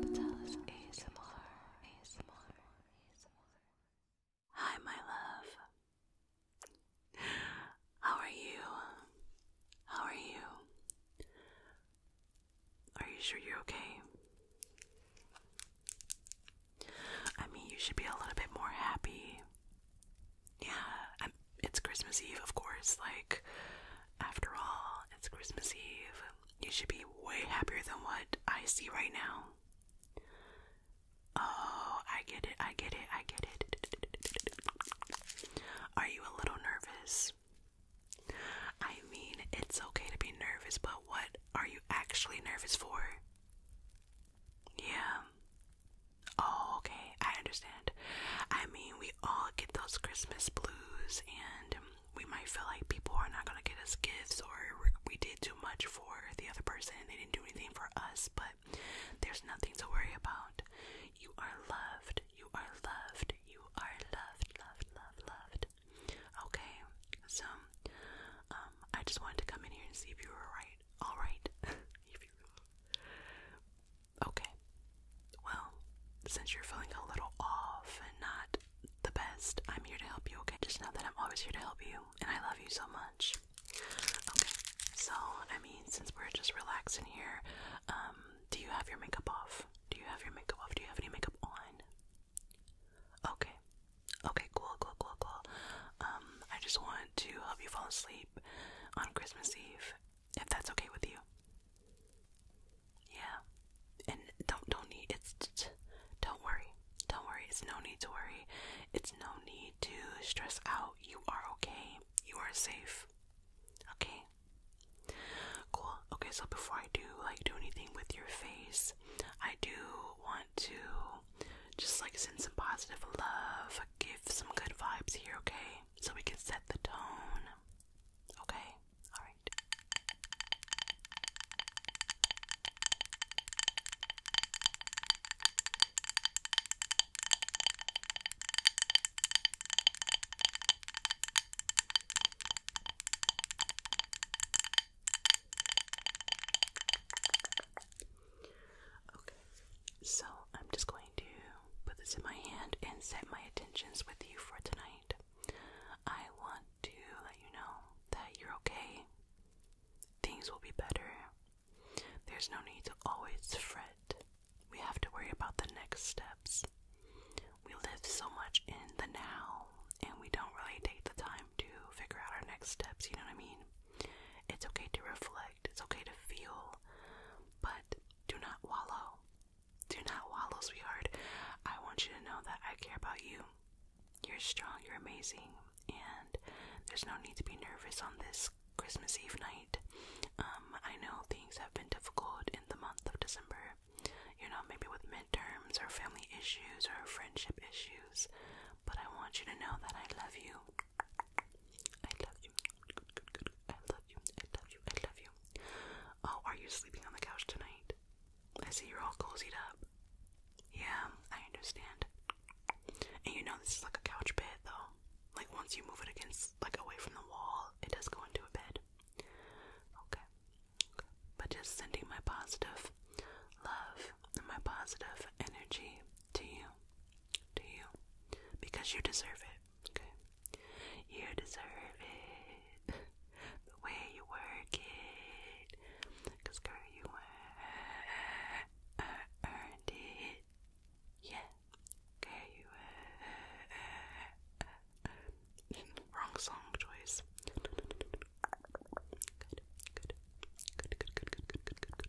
Patelis, Hi, my love. How are you? How are you? Are you sure you're okay? I mean, you should be a little bit more happy yeah, it's Christmas Eve, of course. Like, after all, it's Christmas Eve. You should be way happier than what I see right now. Oh, I get it, I get it, I get it. Are you a little nervous? I mean, it's okay to be nervous, but what are you actually nervous for? Yeah. Oh, okay, I understand. I mean, we all get those Christmas blues, and we might feel like people are not gonna get us gifts, or we did too much for the other person, they didn't do anything for us, but there's nothing to worry about. You are loved, you are loved, you are loved, loved, loved, loved. Okay, so, um, I just wanted to come in here and see if you were right. Alright, if you Okay. Well, since you're feeling a little off and not the best, I'm here to help you, okay? Just know that I'm always here to help you and I love you so much. Okay. So, I mean, since we're just relaxing here, um, do you have your makeup off? Do you have your makeup off? Do you have any makeup on? Okay. Okay, cool, cool, cool, cool. Um, I just want to help you fall asleep on Christmas Eve, if that's okay with you. Yeah, and don't don't need it's don't worry, don't worry. It's no need to worry. It's no need to stress out. You are okay. You are safe. Okay. Cool. Okay, so before I do like do anything with your face, I do want to just like send some positive love, give some good vibes here, okay? So we can set the tone. Okay? Alright. Okay, so I'm just going to put this in my hand and set my intentions with you for tonight. I want to let you know that you're okay. Things will be better. There's no need to always fret. We have to worry about the next steps. We live so much in the now and we don't really take the time to figure out our next steps, you know what I mean? It's okay to reflect. It's okay to feel, but do not wallow. Do not wallow, sweetheart. I want you to know that I care about you. You're strong, you're amazing, and there's no need to be nervous on this Christmas Eve night. Um, I know things have been difficult in the month of December, you know, maybe with midterms or family issues or friendship issues, but I want you to know that I love you I love you. Good, good, good. I love you. I love you. I love you. Oh, are you sleeping on the couch tonight? I see you're all cozied up. Yeah, I understand. And you know this is like a couch bed though. Like once you move it against like away from the wall, it does go into a bed. Okay. okay. But just sending my positive love and my positive energy to you to you because you deserve it, okay? You deserve it the way you work it because, girl, you earned it. Yeah, okay, you wrong song choice. good, good, good, good, good, good, good, good, good.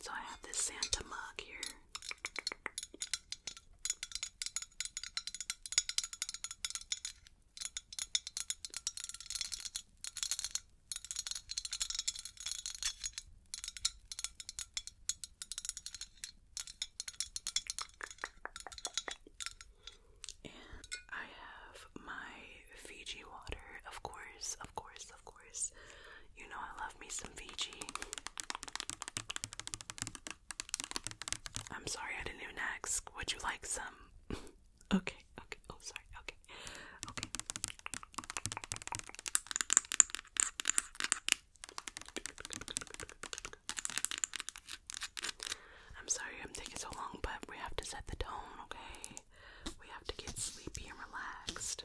So I have this Santa mug here. And I have my Fiji water, of course, of course, course, of course. You know I love me some Fiji. I'm sorry I didn't even ask. Would you like some? okay, okay. Oh, sorry. Okay, okay. I'm sorry I'm taking so long, but we have to set the tone, okay? We have to get sleepy and relaxed.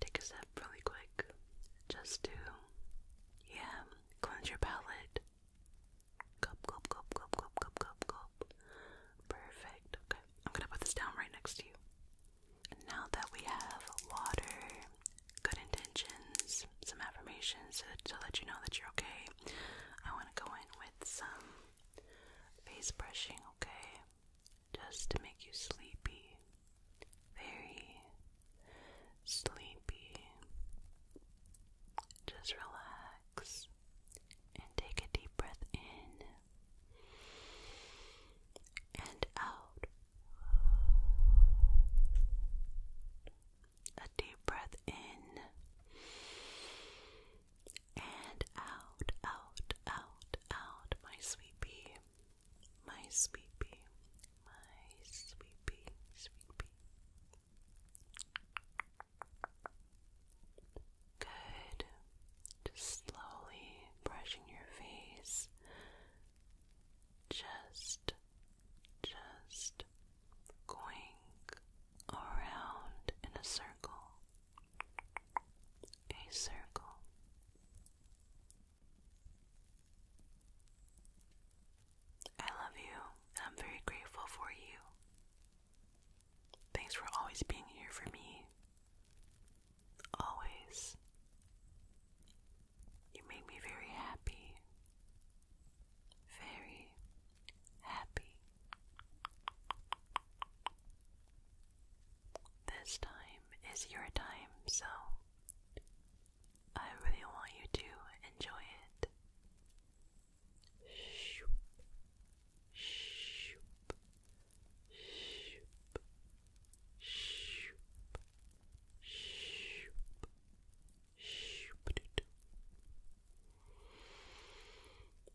Take a sip really quick just to, yeah, cleanse your palate. Cup, cup, cup, cup, cup, cup, cup, cup. Perfect. Okay, I'm gonna put this down right next to you. now that we have water, good intentions, some affirmations to let you know that you're okay, I want to go in with some Face brushing, okay? Just to make you sleepy. Very sleepy. Just relax and take a deep breath in and out. A deep breath in and out, out, out, out, my sweet my sweet my sweet pea, Good. Just slowly brushing your face. Just, just going around in a circle a circle. I love you, I'm very grateful for you. Thanks for always being here for me. Always. You make me very happy. Very happy. This time is your time, so I really want you to enjoy it.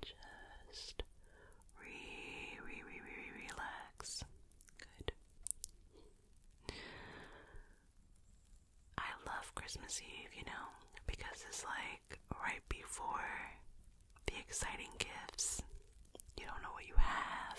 Just re re re re relax. Good. I love Christmas Eve, you know, because it's like right before the exciting gifts. You don't know what you have.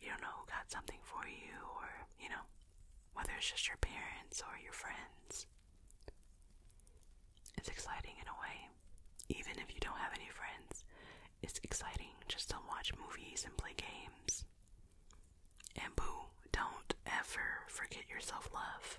You don't know who got something for you, or, you know, whether it's just your parents or your friends. It's exciting in a way. Even if you don't have any friends, it's exciting just to watch movies and play games. And boo, don't ever forget yourself, love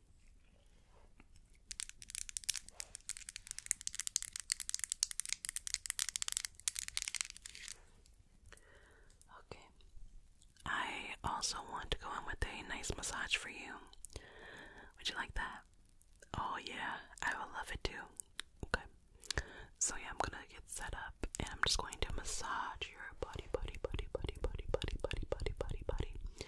Okay. I also want to go in with a nice massage for you. Would you like that? Oh, yeah, I will love it too. Okay. So, yeah, I'm gonna get set up and I'm just going to massage your body, body, body, body, body, body, body, body, body, body.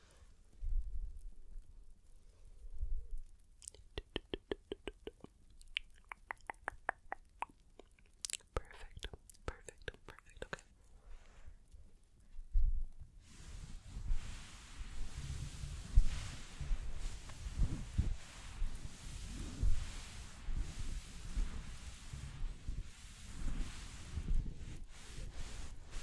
Perfect, perfect, perfect, okay. Okay.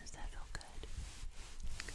Does that feel good? good.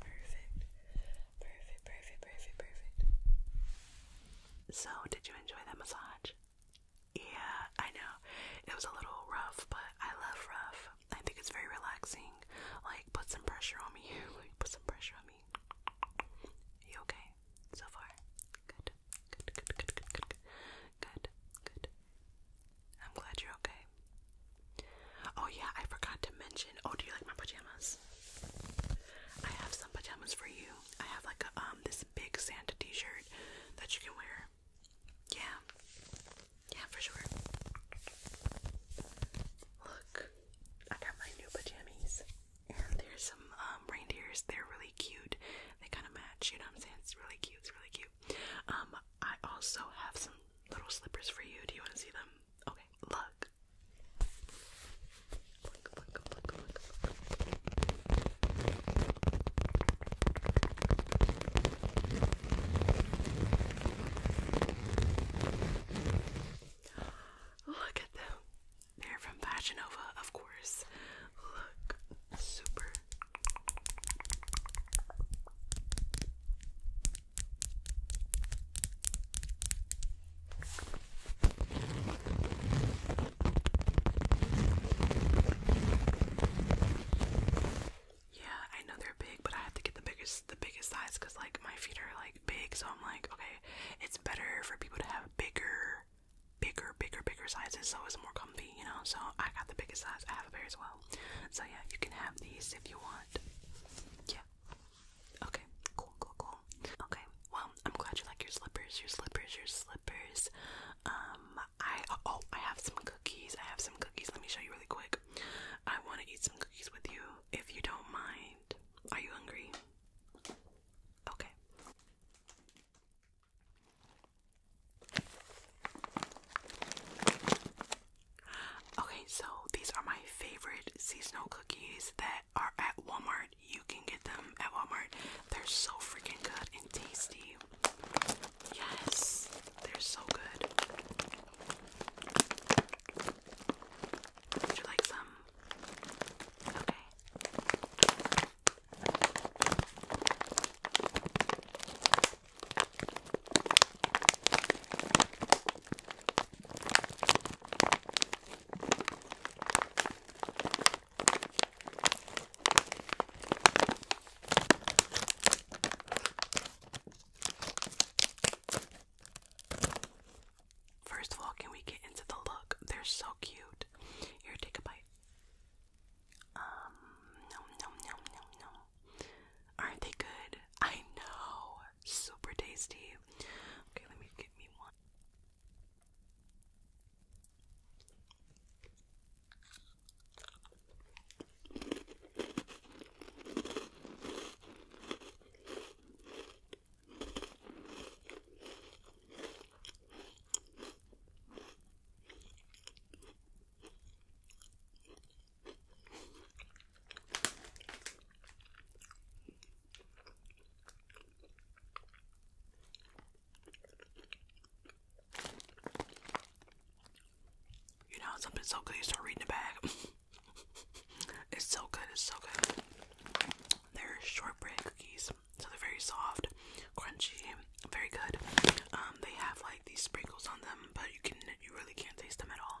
Perfect. Perfect, perfect, perfect, perfect. So, did you enjoy that massage? Yeah, I know. It was a little rough, but I love rough. I think it's very relaxing. Like, put some pressure on me. Like, put some pressure on me. You okay so far? Good. Good, good, good, good, good, good. Good, good. I'm glad you're okay. Oh, yeah, I forgot to mention. Oh, do you like my pajamas? I have some pajamas for you. I have like a, um, this big Santa t shirt that you can wear. Yeah, yeah, for sure. Look, I got my new pajamas, and there's some um, reindeers. They're really cute. They kind of match. You know what I'm saying? It's really cute. It's really cute. Um, I also have some little slippers for you. Do you want to see them? Okay, look. Look, look, look, look, look. at them. They're from Fashion of course. Look, super. Yeah, I know they're big, but I have to get the biggest the biggest size cuz like my feet are like big, so I'm like, okay, it's better for people to have bigger bigger bigger bigger sizes so it's more comfy, you know? So I got the biggest size. I have a pair as well. So yeah, you can have these if you want. Yeah. Okay, cool, cool, cool. Okay, well, I'm glad you like your slippers, your slippers, your slippers. Um, I, oh, I have some cookies. I have some cookies. Let me show you really quick. I want to eat some cookies with you if you don't mind. Are you hungry? Okay. Okay, so these are my favorite seasonal cookies that are at Walmart. You can get them at Walmart. They're so freaking good and tasty. Yes, they're so good. Would you like some? Okay. First of all, can we get into the look? They're so cute. Here, take a bite. Um, Aren't they good? I know. Super tasty. Okay, let me get me one. You know, something's so good, you start reading the bag. it's so good, it's so good. They're shortbread cookies, so they're very soft, crunchy, very good. Um, they have like these sprinkles on them, but you can you really can't taste them at all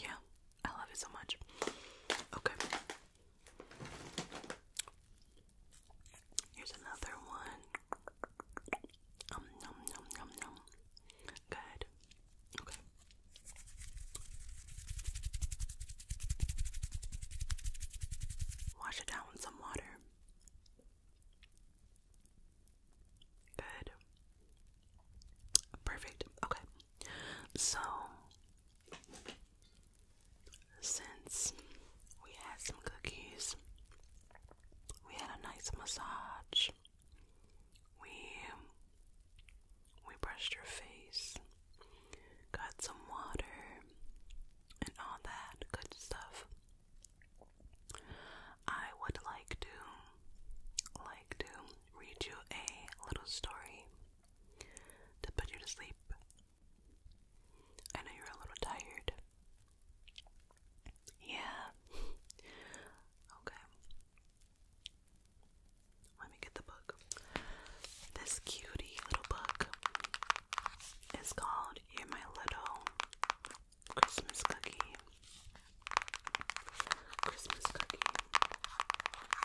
Yeah, I love it so much. Okay. Here's another one. Um nom nom nom nom. Good. Okay. Wash it down with some water. Good. Perfect. Okay. So since we had some cookies, we had a nice massage. We um, we brushed your face, got some water, and all that good stuff. I would like to like to read you a little story to put you to sleep. I know you're a little tired. Yeah. okay. Let me get the book. This cutie little book is called You're My Little Christmas Cookie. Christmas Cookie.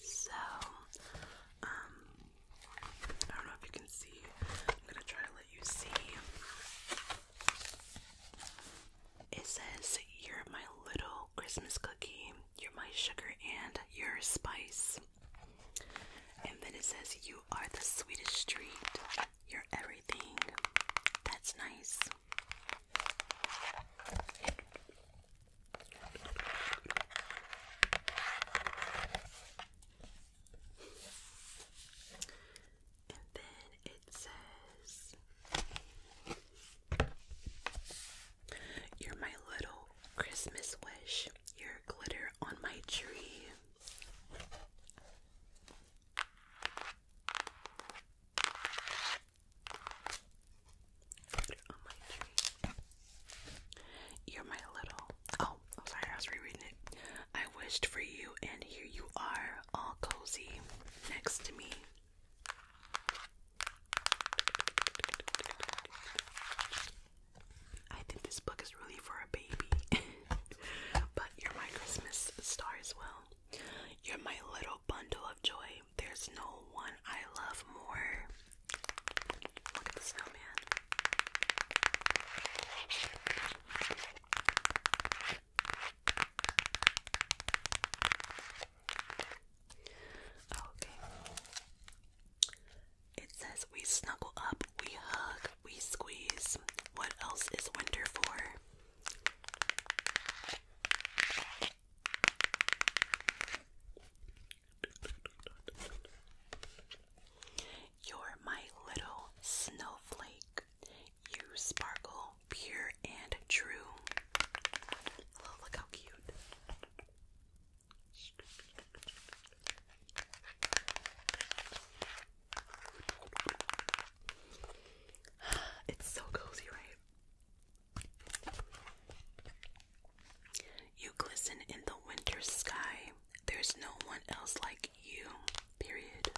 So, um, I don't know if you can see. I'm gonna try to let you see. It says, You're my little Christmas cookie, you're my sugar, and your spice. And then it says, You are the sweetest treat, you're everything. That's nice. And then it says, You're my little Christmas wish, you're glitter on my tree. You're my little. Oh, I'm sorry, I was rereading it. I wished for you, and here you are, all cozy next to me. I think this book is really for a baby, but you're my Christmas star as well. You're my little bundle of joy. There's no one I love more. Okay. It says we snuggle up, we hug, we squeeze. What else is winter for? You're my little snowflake. You sparkle pure and true. Oh, look how cute. It's so cozy, right? You glisten in the winter sky. There's no one else like you. Period.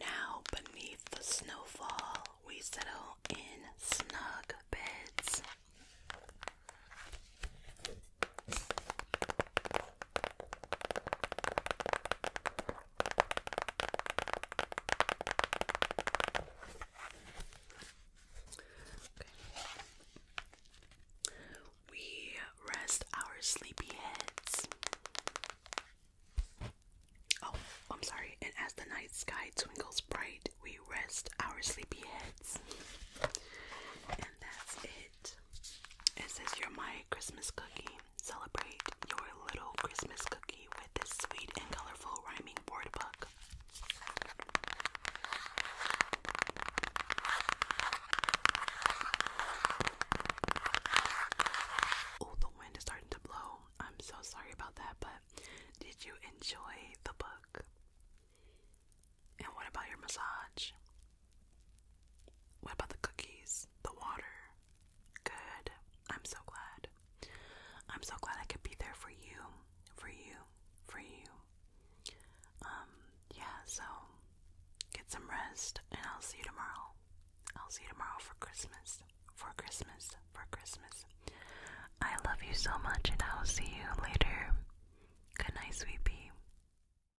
Now, beneath the snowfall, we settle in snug beds. We rest our sleepy heads. Oh, I'm sorry. And as the night sky twinkles bright, we rest our sleepy heads. And that's it it. says, You're my Christmas cookie. Celebrate your little Christmas cookie with this sweet and colorful rhyming board book. Oh, the wind is starting to blow. I'm so sorry about that, but did you enjoy the book? And what about your massage? What about the cookies? The water? Good. I'm so glad. I'm so glad I could be there for you, for you, for you. Um, yeah, so get some rest and I'll see you tomorrow. I'll see you tomorrow for Christmas. For Christmas. For Christmas. I love you so much and I'll see you later. Good night, sweetie.